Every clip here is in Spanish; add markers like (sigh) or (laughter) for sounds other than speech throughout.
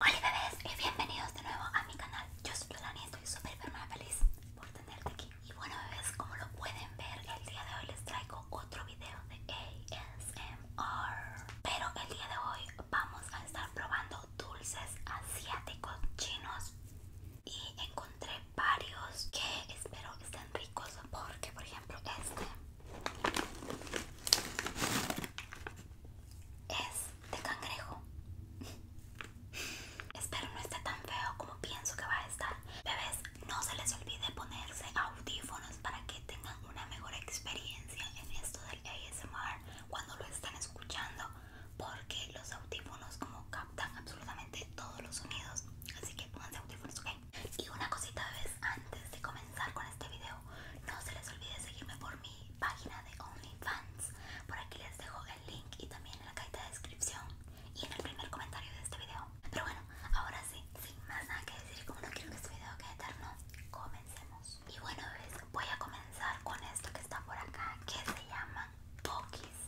Hola bebés y bienvenidos de nuevo a mi canal. Yo soy Lani, y estoy súper feliz por tenerte aquí. Y bueno bebés, como lo pueden ver, el día de hoy les traigo otro video de ASMR. Pero el día de hoy vamos a estar probando dulces asiáticos chinos y encontré varios que espero estén ricos porque por ejemplo este es de cangrejo. Espero no esté tan feo como pienso que va a estar. Bebés, no se les olvide ponerse audífonos para que tengan una mejor experiencia en esto del ASMR cuando lo están escuchando, porque los audífonos como captan absolutamente todos los sonidos. Así que pónganse audífonos, ¿ok? Y una cosita, bebés, antes de comenzar con este video, no se les olvide seguirme por mi página de OnlyFans. Por aquí les dejo el link y también en la cajita de descripción y en el primer comentario de este video. Pero bueno, ahora sí, sin más nada que decir, como no quiero que este video quede eterno, comencemos. Y bueno, pues voy a comenzar con esto que está por acá, que se llama Pokis.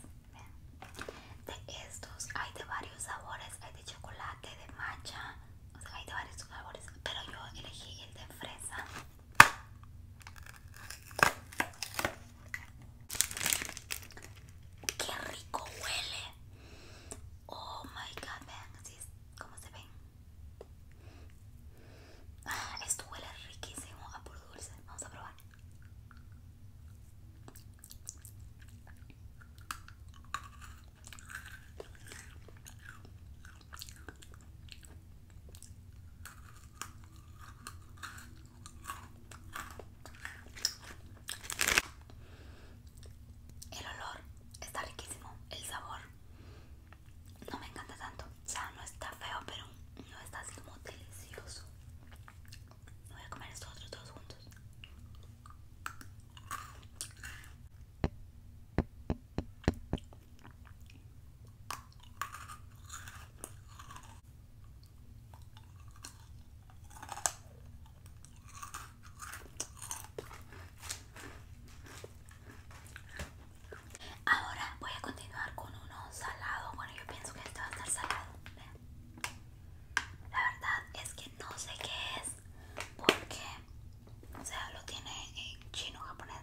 De estos hay de varios sabores, hay de chocolate, de matcha, o sea, hay de varios sabores, pero yo elegí el de fresa Qué rico huele. Oh my god, vean así es como se ven. Ah, esto huele riquísimo a ah, puro dulce. Vamos a probar. El olor está riquísimo, el sabor no me encanta tanto, Ya no está feo, pero no está así como delicioso. Voy a comer estos otros dos juntos. Ahora voy a continuar con uno salado. Bueno, yo pienso que este va a estar salado. La verdad es que no sé qué es porque o sea, lo tiene en chino japonés,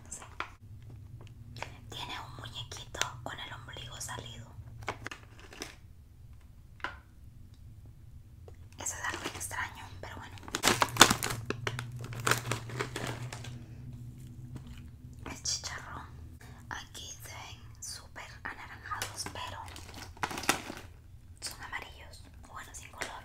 Tiene un muñequito con el ombligo salido. Eso es algo extraño, pero bueno. Es chicharrón. Aquí se ven súper anaranjados, pero son amarillos. O Bueno, sin color.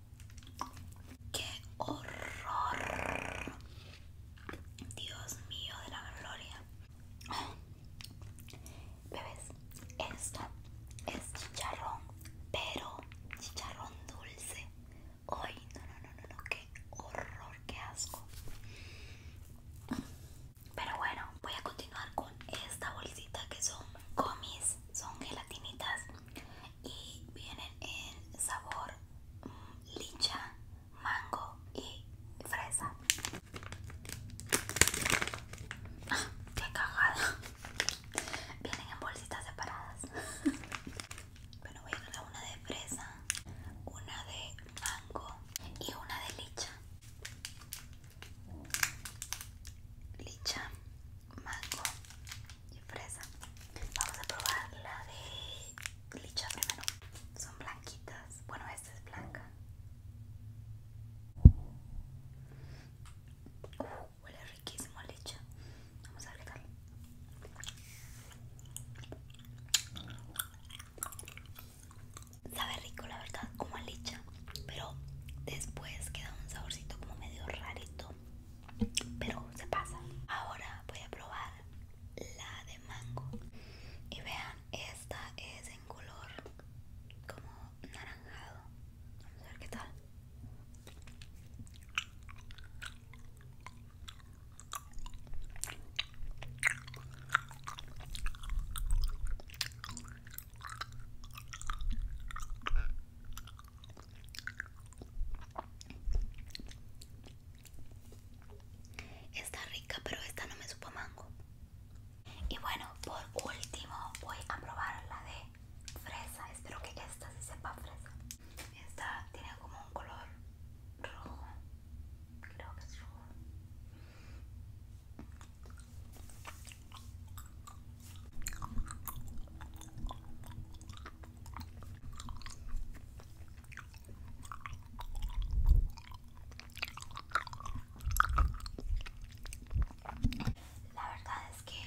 ¡Qué horror! Dios mío de la gloria. bebes esto es chicharrón, pero chicharrón dulce. Ay, no, no, no, no, no, qué horror, qué asco. Pero bueno, voy a continuar con esta bolsita que son gomis, son gelatinitas y vienen en sabor mm, licha, mango y fresa. que ah, ¡Qué cagada! Vienen en bolsitas separadas. pero (laughs) voy a a una de fresa, una de mango y una de licha. Licha, mango y fresa. Vamos a probar la de licha primero. Son blanquitas. Bueno, esta es blanca. Uh, huele riquísimo a licha. Vamos a ver Sabe rico, la verdad, como a licha, pero después queda un saborcito como medio rarito pero se pasa ahora voy a probar la de mango y vean esta es en color como naranjado vamos a ver qué tal Está rica, pero esta no me supo mango. Y bueno, por último voy a probar la de fresa. Espero que esta sí sepa fresa. Esta tiene como un color rojo. Creo que es rojo. La verdad es que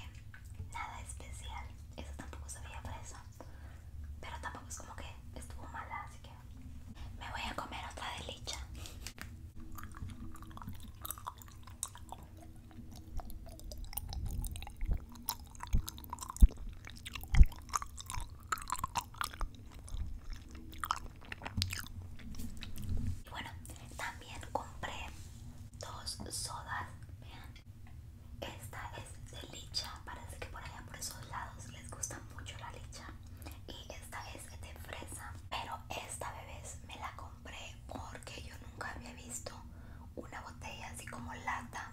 nada especial. Eso tampoco sabía eso Pero tampoco es como que estuvo mala, así que me voy a comer otra delicia. Y bueno, también compré dos sodas. Vean, esta es de licha. Parece que por allá, por esos lados, les gusta mucho la licha. Y esta es de fresa. Pero esta, bebés, me la compré porque yo nunca había visto una botella así como lata,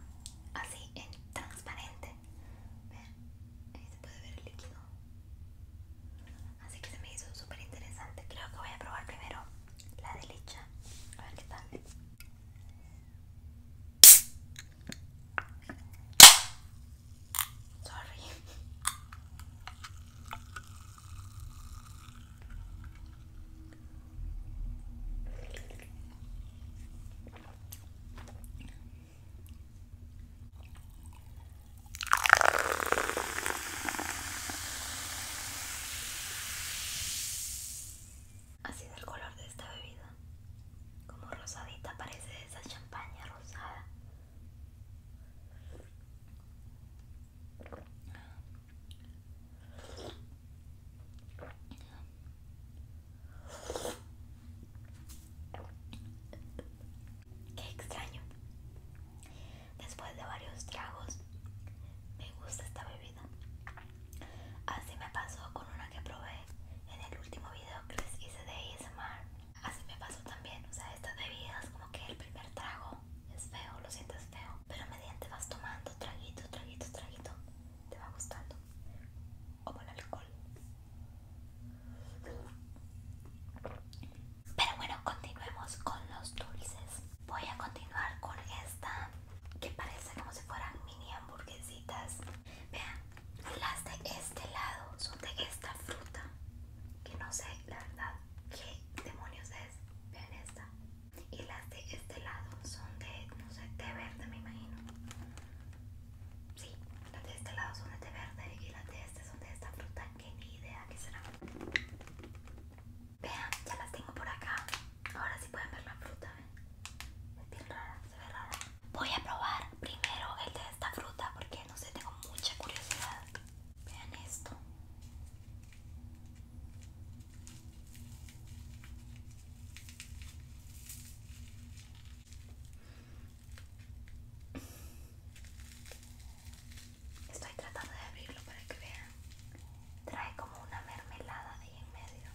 así en transparente. ahí se puede ver el líquido. Así que se me hizo súper interesante. Creo que voy a probar primero la de licha. A ver qué tal. Sorry. Así es el color de esta bebida, como rosadita, parece esa champaña rosada. Qué extraño. Después de varios tragos, me gusta esta bebida. Así me pasó con una que probé en el último video que les hice de ASMR. Así me pasó también, o sea, estas bebidas que el primer trago es feo, lo sientes feo, pero mediante vas tomando traguito, traguito, traguito, te va gustando. Como el alcohol. Pero bueno, continuemos con los dulces. Voy a continuar con esta que parece como si fueran mini hamburguesitas. Vean, las de este lado son de esta fruta. Que no sé, la verdad, qué demonios es. Vean esta y las de este lado son de, no sé, té verde me imagino. Sí, las de este lado son de té verde y las de este son de esta fruta que ni idea que será. Vean, ya las tengo por acá. Ahora sí pueden ver la fruta, ¿ven? Es bien rara, se ve rara. Voy a probar primero el de esta fruta porque no sé, tengo mucha curiosidad. Vean esto. Estoy tratando de abrirlo para que vean. Trae como una mermelada ahí en medio.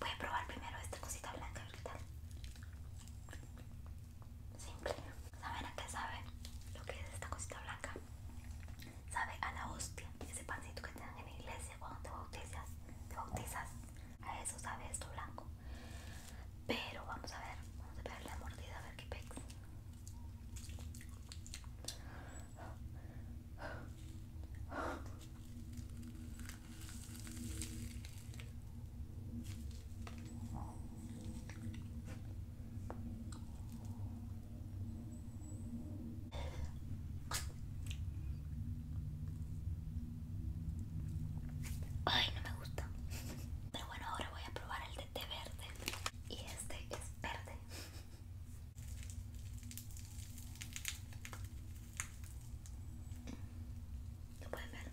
Voy a probar primero esta cosita blanca, a ver qué tal. Simple. ¿Saben a qué sabe lo que es esta cosita blanca? Sabe a la hostia, ese pancito que te en la iglesia cuando te bautizas, te bautizas, a eso sabe esto blanco. Pero vamos a ver, vamos a pegarle la mordida a ver qué pex. Ay, no me gusta. Pero bueno, ahora voy a probar el de té verde. Y este es verde. ¿Lo pueden ver?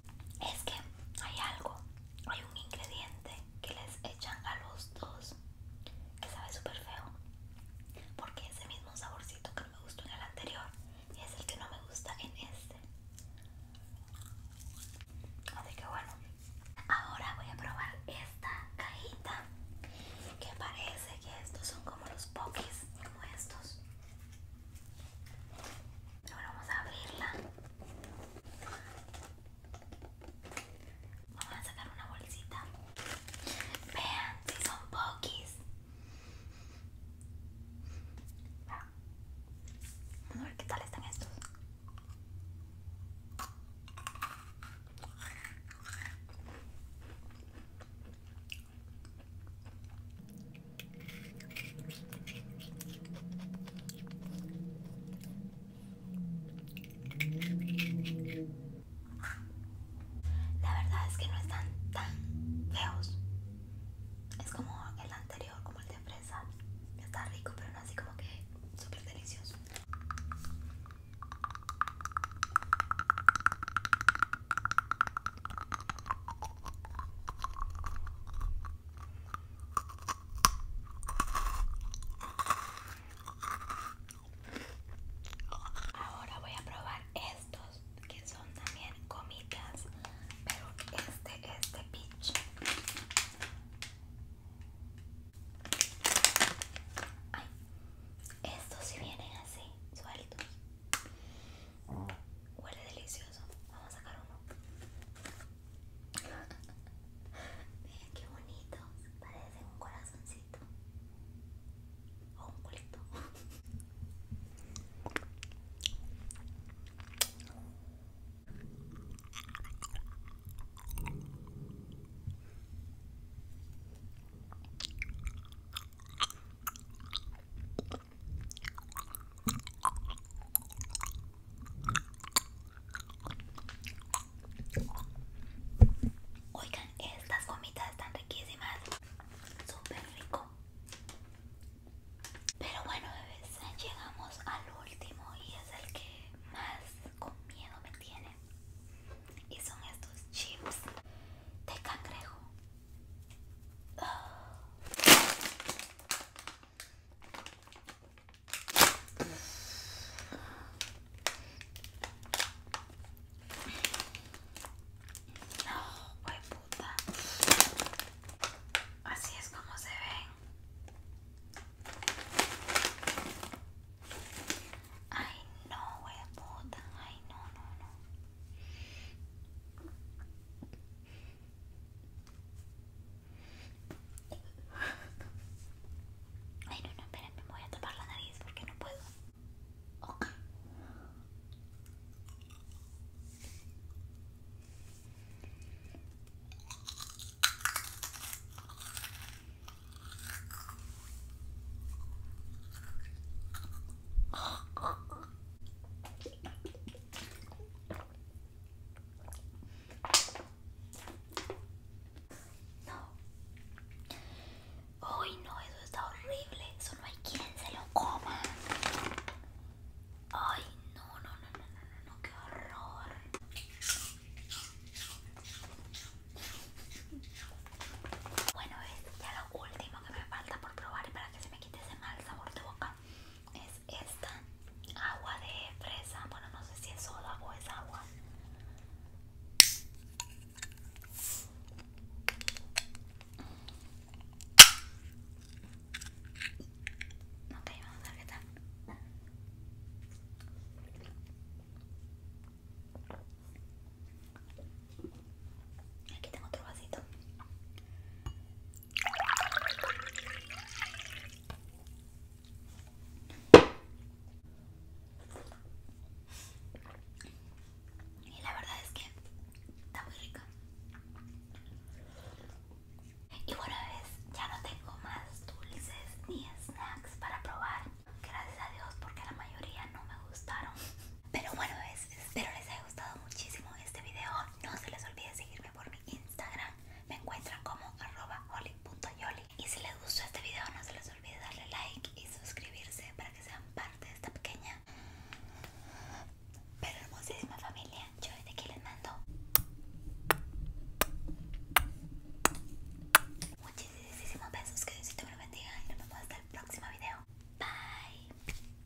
es que hay algo, hay un ingrediente que les echan a los dos que sabe súper feo, porque ese mismo saborcito que no me gustó en el anterior es el que no me gusta en este. Así que bueno, ahora voy a probar esta cajita que parece que estos son como los pokis, como estos. Pero vamos a abrirla. Vamos a sacar una bolsita. Vean si son poquis Vamos a ver qué tal están estos. La verdad es que no están tan feos. Es como el anterior, como el de fresa. Está rico, pero no así como que súper delicioso. Ahora voy a probar estos que son también comitas, pero este es de peach. Ay, estos si vienen así, sueltos. Huele delicioso. Vamos a sacar uno. Mira qué bonito. Parece un corazoncito. O un culito. Oigan, estas gomitas están riquísimas, súper rico. Pero bueno, bebés, llegamos al último y es el que más con miedo me tiene. Y son estos chips de cangrejo. Ah. No, wey puta. Así es como se ven. Ay, no, wey puta. Ay, no, no, no. Ay, no, no, esperen, me voy a tapar la nariz porque no puedo. Ok. No. ay no, eso está horrible. Eso no hay quien se lo coma. Ay, no, no, no, no, no, no, no qué horror. Bueno, es ya lo último que me falta por probar para que se me quite ese mal sabor de boca es esta agua de fresa bueno no sé si es soda o es agua ok vamos a ver qué tal Aquí tengo otro vasito. Y la verdad es que está muy rica. Y bueno, es ya no tengo más dulces ni snacks para probar. Gracias a Dios porque la mayoría no me gustaron. Pero bueno, es espero les haya ha gustado muchísimo este video. No se les olvide seguirme por mi Instagram. Me encuentran como arroba Y si les gustó este video, no se les olvide darle like y suscribirse para que sean parte de esta pequeña pero hermosísima familia. Yo de aquí les mando muchísimos besos. Que Diosito me lo bendiga y nos vemos hasta el próximo video. Bye.